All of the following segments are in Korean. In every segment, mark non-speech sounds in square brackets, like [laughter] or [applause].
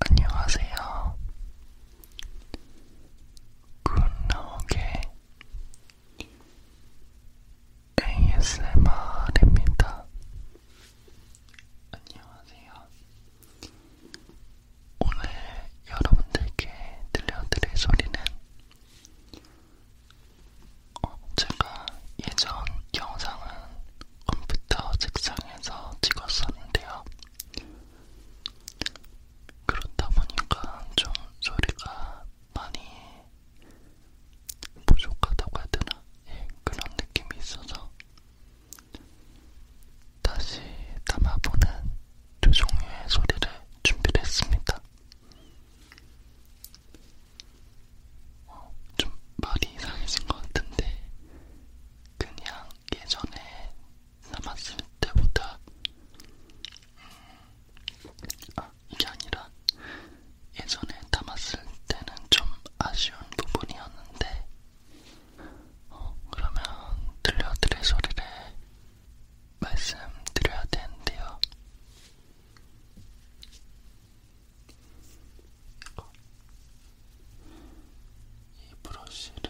안녕하세요. 굿나오게 ASMR입니다. 안녕하세요. 오늘 여러분들께 들려드릴 소리는 어, 제가 예전 영상은 컴퓨터 책상에서 찍었었는데요. 그렇다 보니까 좀 소리가 많이 부족하다고 해야 되나? 예, 그런 느낌이 있어서 다시 담아보는 두 종류의 소리를 준비를 했습니다. 어, 좀 말이 이상해진 것 같은데 그냥 예전에 남았을 때보다 음, 아, 이게 아니라 예전에 담았을 때는 좀 아쉬운 부분이었는데 어, 그러면 들려드릴 소리를 말씀드려야 되는데요. 이 브러쉬를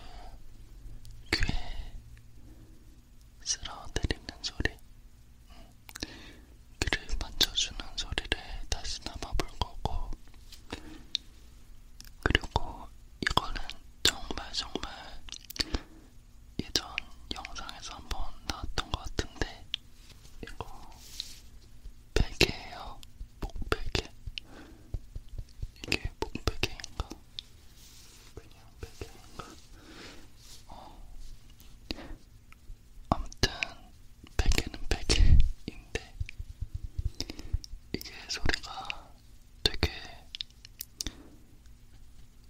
귀에 쓸어드리는 소리, 응. 귀를 만져주는 소리를 다시 담아볼 거고, 그리고 이거는 정말 정말 예전 영상에서 한번 나왔던 것 같은데, 이거 베개예요. 목베개? 이게 목베개인가? 그냥 베개인가? 어. 아무튼 베개는 베개인데 이게 소리가 되게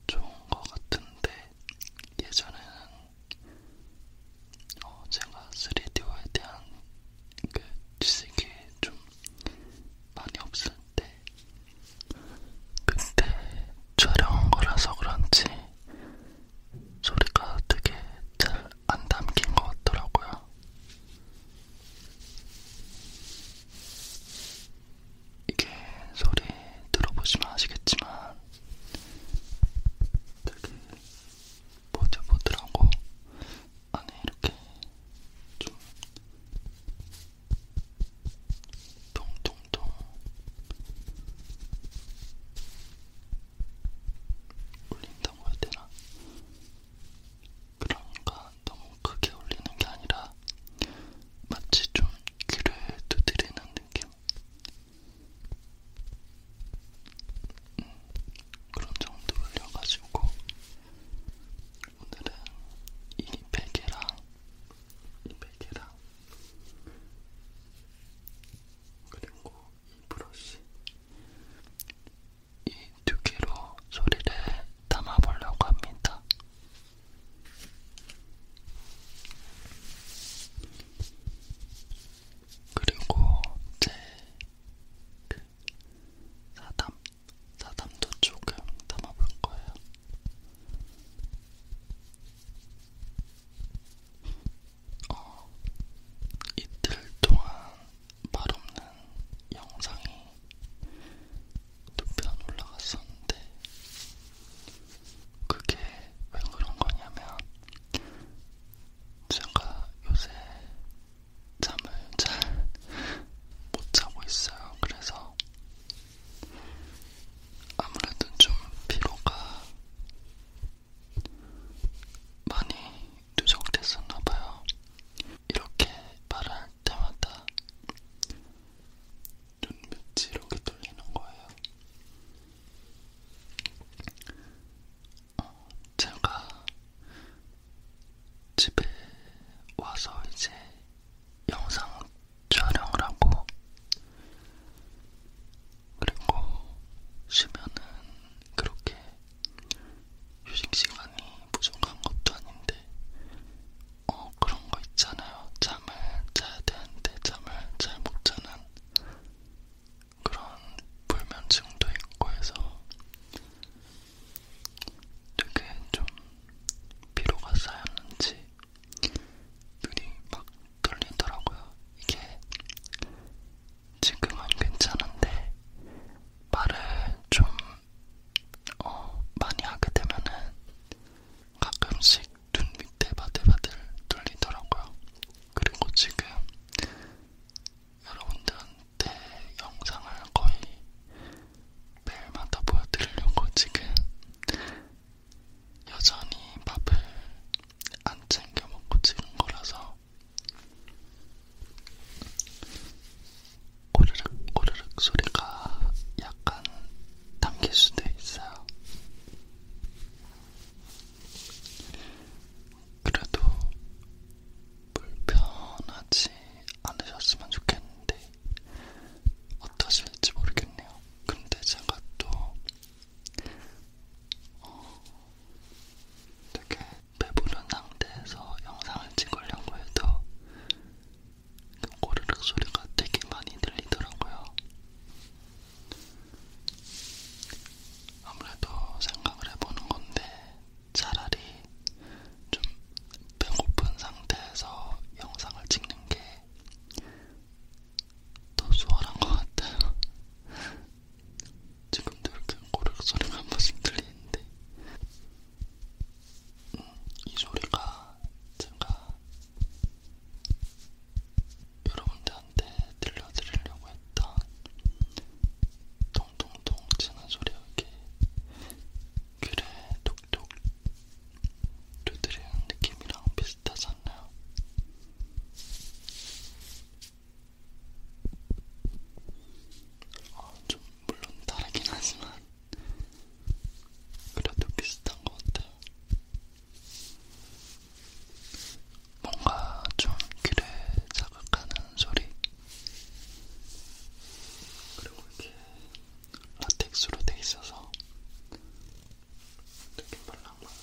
좋은 것 같은데 예전에는 어, 제가 3D에 대한 그 지식이 좀 많이 없을 때 그때 촬영한 거라서 그런지 소리가 되게 잘 안 담긴 것 같더라고요. 이게 소리 들어보시면 아시겠지만 되게 보들보들하고 안에 이렇게 좀 통통통 울린다고 해야 되나? 그러니까 너무 크게 울리는 게 아니라 마치 좀 귀를 두드리는 느낌? 음, 그런 정도 올려가지고 오늘은 이 베개랑 이 베개랑 그리고 이 브러쉬 이두 개로 소리를 담아보려고 합니다. 그리고 제그 사담, 사담도 조금 담아볼 거예요. 어, 이틀 동안 말 없는 영상이 두 편 올라갔었는데 그게 왜 그런 거냐면 제가 요새 잠을 잘 못 자고 있어요. 그래서 아무래도 좀 피로가 많이 누적됐었나봐요. 이렇게 말할 때마다 눈빛이 이렇게 떨리는 거예요. 어, 제가 집에 와서 이제 영상 촬영을 하고 그리고 쉬면은 그렇게 휴식 시간이 부족한 것도 아닌데 어 그런 거 있잖아요. 잠을 자야 되는데 잠을 잘 못 자는 그런 불면증도 있고 해서 되게 좀 피로가 쌓였는지 눈이 막 떨리더라고요. 이게 지금은 괜찮은데 말을 좀 어, 많이 하게 되면은 가끔씩 눈 밑에 바들바들 뚫리더라고요. 그리고 지금 여러분들한테 영상을 거의 매일마다 보여드리려고 지금 여전히 밥을 안 챙겨 먹고 찍은 거라서 꼬르륵 꼬르륵 소리가 약간 담길 수도 있어요. 그래도 불편하지 않으셨으면 좋겠는데 어떠실지 모르겠네요. 근데 제가 또 어, 되게 배부른 상태에서 영상을 찍으려고 해도 고르륵 소리가 되게 많이 들리더라고요. 아무래도 생각을 해보는 건데 차라리 좀 배고픈 상태에서 영상을 찍는 게 더 수월한 것 같아요. [laughs] 지금도 이렇게 고르륵 소리가 한 번씩 들리는데 음, 이 소리가 제가 여러분들한테 들려드리려고 했던 통통통 치는 소리 여기 귀를 톡톡 두드리는 느낌이랑 비슷하지 않나요? 어, 아, 좀 물론 다르긴 하지만 그래도 비슷한 것 같아요. 뭔가 좀 귀를 자극하는 소리 그리고 이렇게 라텍스로 돼 있어서 되게 말랑말랑해요.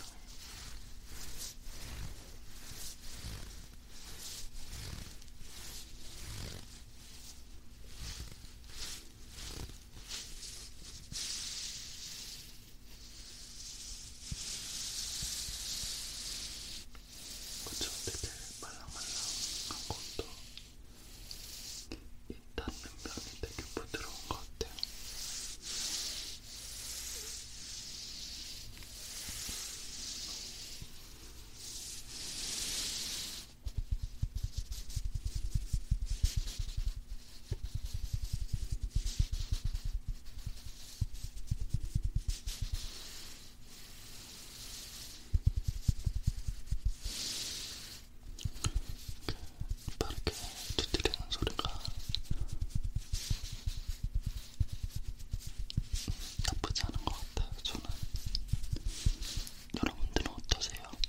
그쵸 되게 말랑말랑한 것도 이 닿는 면이 되게 부드러운 것 같아요. 음. 빠르게 두드리는 소리가 나쁘지 않은 것 같아요. 저는 여러분들은 어떠세요?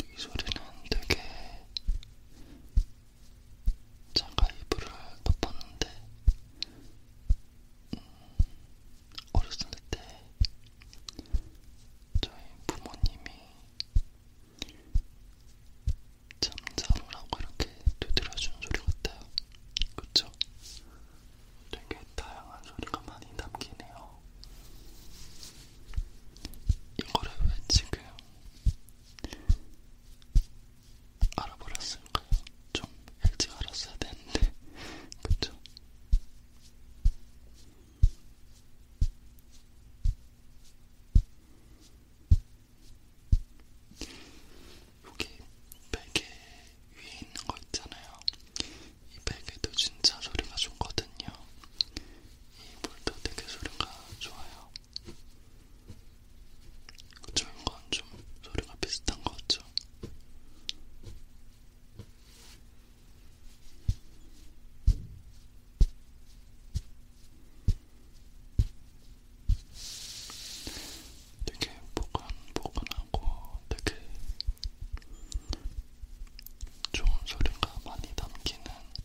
이 소리는 되게 잠깐 이불을 덮었는데 음, 어렸을 때 저희 부모님이 잠자루라고 이렇게 두드려주는 소리 같아요. 그쵸? 되게 다양한 소리가 많이 담기네요. 이거를 왜 지금 알아버렸을까요? 좀 일찍 알았어야 되는데, [laughs] 그쵸? 여기 베개 위에 있는 거 있잖아요. 이 베개도 진짜 소리가 좋거든요. 이 볼도 되게 소리가 좋아요. 좋은 건좀 소리가 비슷한 것 같죠? 되게 보근보근하고 되게 좋은 소리가 많이 담기는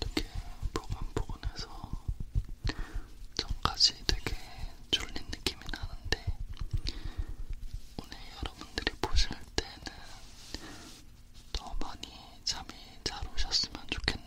이렇게 부분 부분에서 전까지 되게 졸린 느낌이 나는데 오늘 여러분들이 보실 때는 더 많이 잠이 잘 오셨으면 좋겠네요.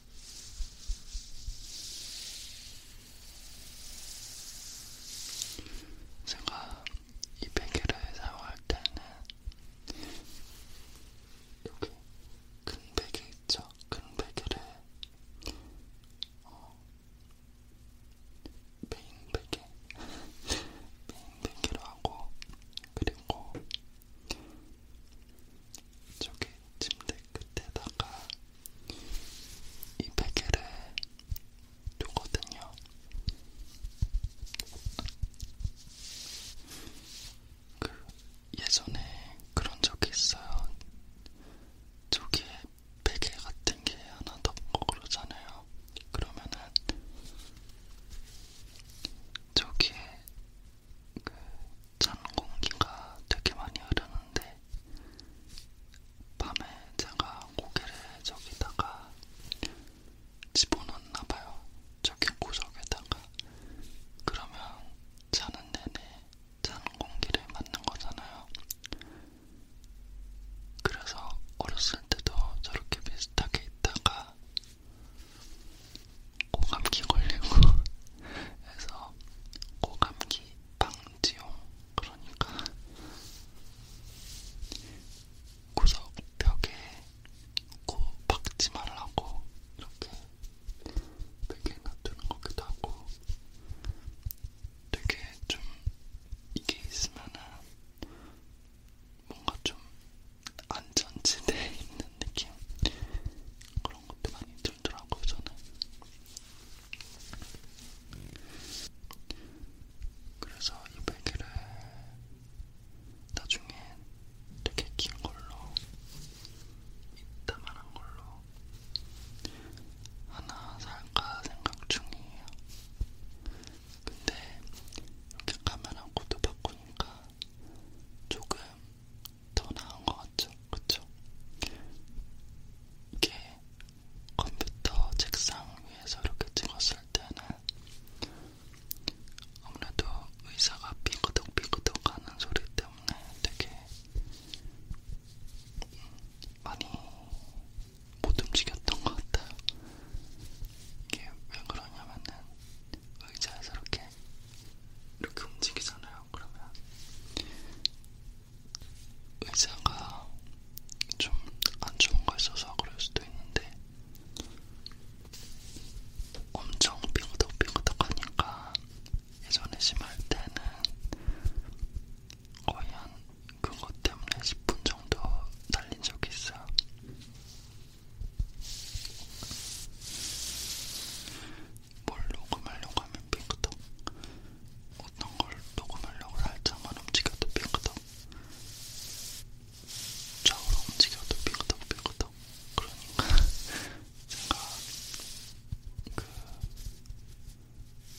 제가 이 베개를 사용할 때는 여기 큰 베개 있죠? 큰 베개를 어, 메인 베개 [laughs] 메인 베개로 하고 그리고 저기 침대 끝에다가 이 베개를 두거든요. 그 예전에 그런 적이 있어요. 저기에 베개 같은 게 하나 덮고 그러잖아요. 그러면은 저기에 그찬 공기가 되게 많이 흐르는데 밤에 제가 고개를 저기다가 집어넣었나봐요. 저기 구석에다가 그러면 자는 내내 찬 공기를 맞는 거잖아요. 그래서 어렸을 때도 저렇게 비슷하게 있다가 고 감기 걸리고 [laughs] 해서 그래서 고감기 방지용 그러니까 구석 벽에 코 박지 말라고 이렇게 되게 놔두는 거기도 하고 되게 좀 이게 있으면은 뭔가 좀 안전지대에 있는 느낌 그런 것도 많이 들어요. 들더라고요, 저는. 그래서 이 베개를 나중에 되게 긴 걸로, 이따만한 걸로 하나 살까 생각 중이에요. 근데 이렇게 카메라 코드 바꾸니까 조금 더 나은 것 같죠? 그쵸? 이게 컴퓨터 책상 위에서 이렇게 찍었을 때는 아무래도 의사가 삐그덕삐그덕 하는 소리 때문에 되게 음, 많이 못 움직였던 것 같아요. 이게 왜 그러냐면은 의자에서 이렇게 이렇게 움직이잖아요. 볼까요? 그러면 의자가 좀 안 좋은 거 있어서 그럴 수도 있는데 엄청 삐그덕삐그덕하니까 예전에 심할 때는 거의 한 그것 때문에 10분 정도 달린 적이 있어요. 뭘 녹음하려고 하면 핑크덕 어떤 걸 녹음하려고 살짝만 움직여도 핑크덕 좌우로 움직여도 핑크덕 핑크덕 그러니까 [laughs] 제가 그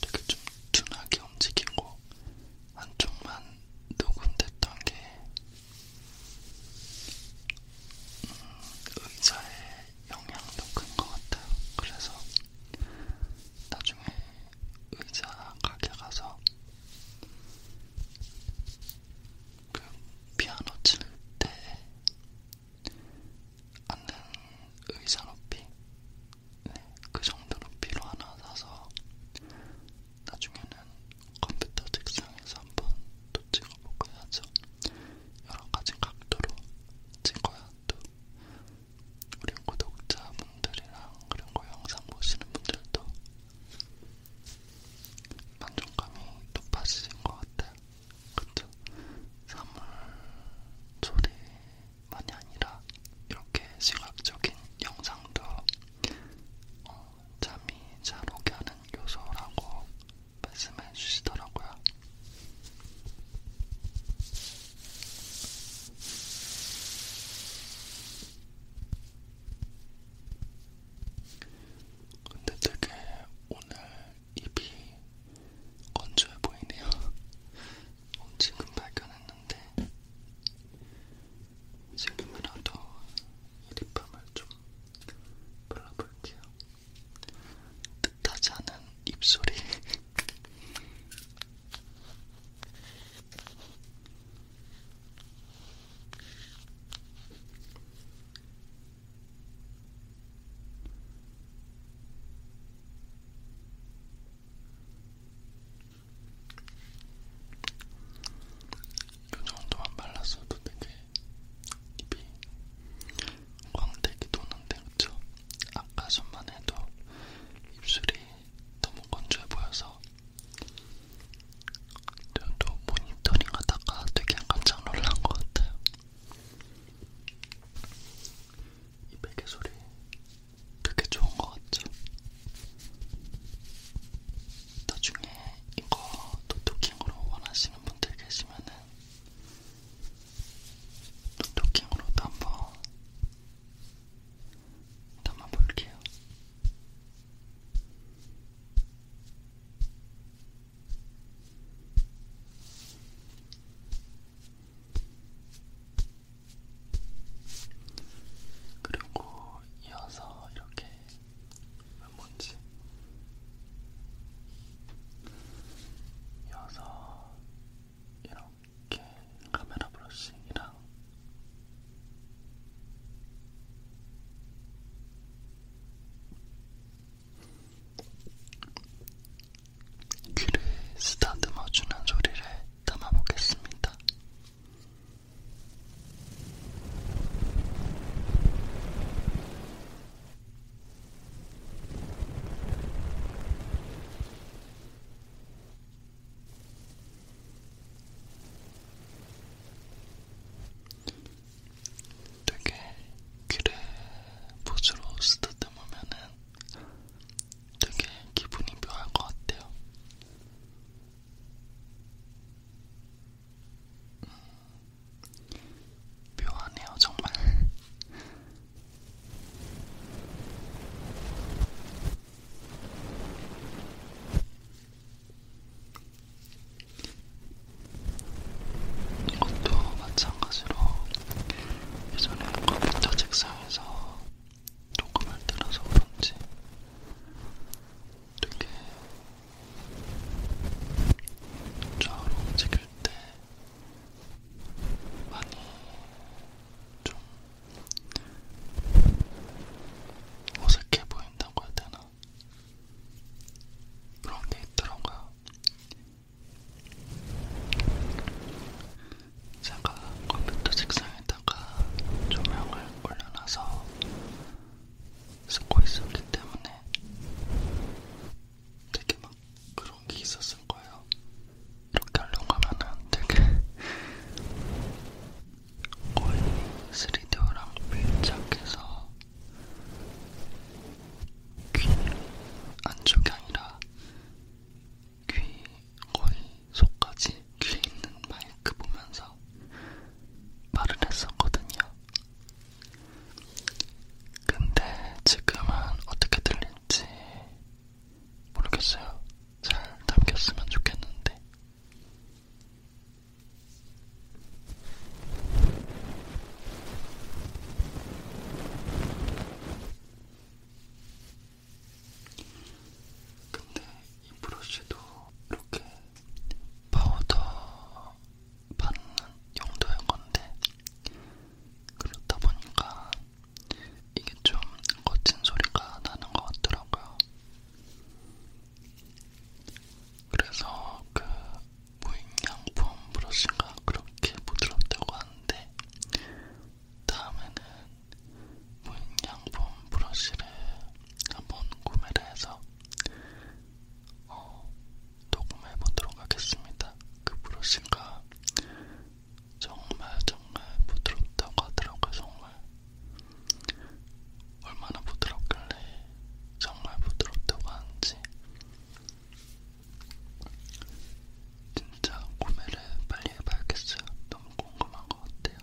되게 좀 둔하게 움직이고 한쪽만 녹음됐던 게 음, 의자에 영향도 큰 것 같아요. 그래서 나중에 의자 가게 가서 그 피아노 칠 때 앉는 의자 높이 네, 그 정도 높이로 하나 사서 나중에는 컴퓨터 책상에서 한번 또 찍어보고 해야죠. 여러 가지 각도로 찍어야 또 우리 구독자분들이랑 그리고 영상 보시는 분들도 만족감이 높아지신 것 같아요. 그쵸? 사물 소리만이 아니라 이렇게 시각적인 영상도 어, 잠이 잘 오게 하는 요소라고 말씀해 주시더라고요. 근데 되게 오늘 입이 건조해 보이네요. [laughs] 지금 발견했는데 지금이라도 이 립밤을 좀 발라볼게요. 뜻하지 않은 입소리. 이 정도만 발랐어도 되게 입이 광택이 도는데 그쵸? 아까 전만 해도 입술이 너무 건조해 보여서 저도 모니터링 하다가 되게 깜짝 놀란 것 같아요. 이 베개 소리 되게 좋은 것 같죠? 나중에 이거 노토킹으로 원하시는 분들 계시면은 노토킹으로도 한번 담아볼게요. 그리고 이어서 이렇게 뭔지 이어서 이렇게 카메라 브러싱이랑 귀를 쓰다듬어주는 소리를 담아보겠습니다. 되게 귀를 보조로 쓰다듬으면은 되게 기분이 묘할 것 같아요. 묘하네요, 정말. 이것도 마찬가지로 예전에 컴퓨터 책상에서 녹음을 들어서 그런지 되게 좌우로 움직일 때 많이 좀 어색해 보인다고 해야 되나? 그런 게 있더라고요. 제가 컴퓨터 책상에다가 조명을 올려놔서 쓰고 있었기 때문에 되게 막 그런 게 있었을 거예요. 이렇게 하려고 하면은 되게 거의 3D랑 밀착해서 귀 안쪽이 아니라 귀 거의 속까지 귀에 있는 마이크 보면서 말을 했었거든요. 근데 지금은 어떻게 들릴지 모르겠어요. 잘 담겼으면 좋겠는데. 근데 이 브러쉬도 이렇게 파우더 받는 용도인 건데 그렇다 보니까 이게 좀 거친 소리가 나는 것 같더라고요. 그래서 그 무인양품 브러쉬가 그렇게 부드럽다고 하는데 다음에는 무인양품 브러쉬를 한번 구매를 해서 어, 녹음해 보도록 하겠습니다. 그 브러쉬가 정말 정말 부드럽다고 하더라고요. 정말 얼마나 부드럽길래 정말 부드럽다고 하는지 진짜 구매를 빨리 해봐야겠어요. 너무 궁금한 것 같아요.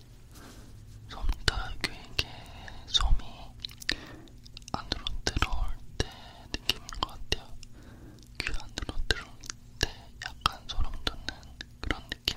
솜털교육의 솜이 안으로 들어올 때 느낌인 것 같아요. 귀 안으로 들어올 때 약간 소름 돋는 그런 느낌.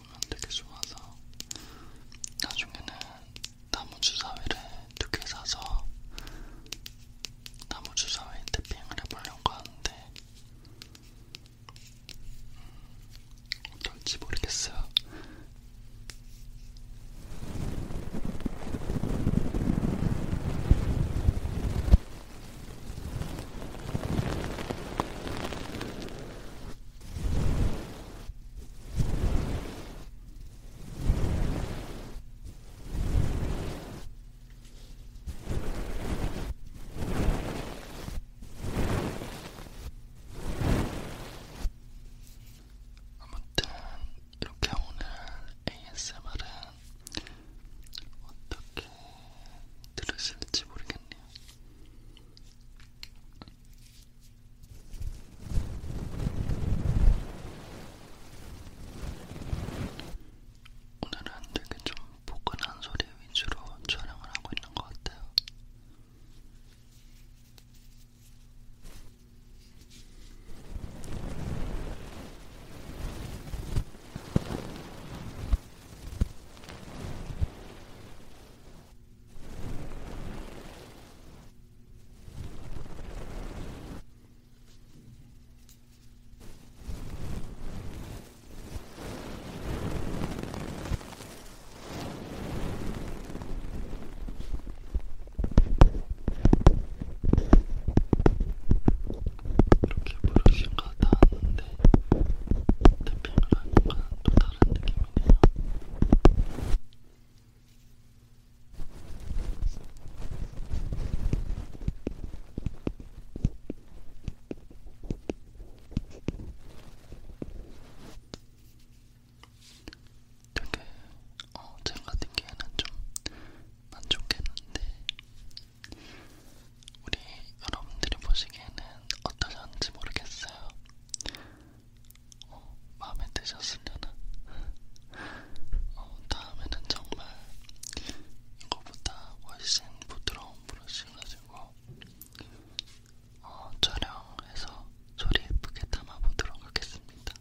보면 되게 좋아서 나중에는 나무 주사위를 두 개 사서 나무 주사위 태핑을 해보려고 하는데 음, 어떨지 모르겠어요. 아무튼 이렇게 오늘 ASMR은 어떻게 들으실지 모르겠네요. 오늘은 되게 좀 포근한 소리 위주로 촬영을 하고 있는 것 같아요. 이렇게 브러쉬가 닿았는데 태핑을 하니까 또 다른 느낌 보이고요. 되게 어, 제가 느끼에는 좀 만족했는데 우리 여러분들이 보시기에는 어떠셨는지 모르겠어요. 어, 마음에 드셨으려나? 어, 다음에는 정말 이거보다 훨씬 부드러운 브러쉬 가지고 어, 촬영해서 소리 예쁘게 담아보도록 하겠습니다.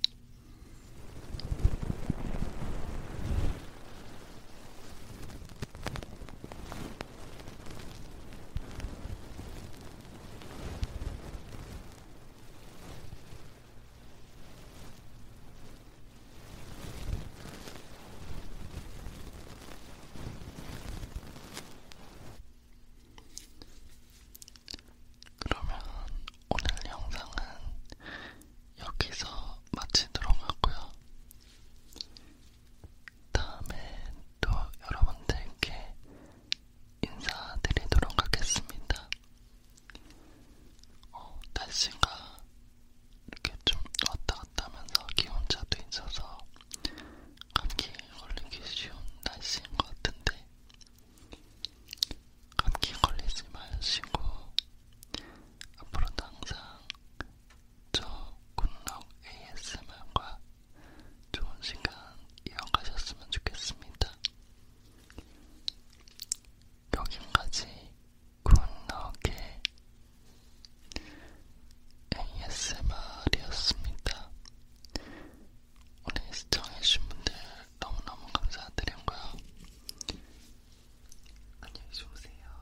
그러면 오늘 영상은 여기서 마치도록 하고요. 다음에 또 여러분들께 인사드리도록 하겠습니다. 어, 날씨가 이렇게 좀 왔다 갔다 하면서 기온차도 있어서 감기 걸리기 쉬운 날씨인 것 같은데 감기 걸리지 마시고 앞으로도 항상 저 굿럭 ASMR과 좋은 시간 이어가셨으면 좋겠습니다. 여기까지 굿나게 ASMR이었습니다. 오늘 시청해주신 분들 너무너무 감사드리고요. 안녕히 주무세요.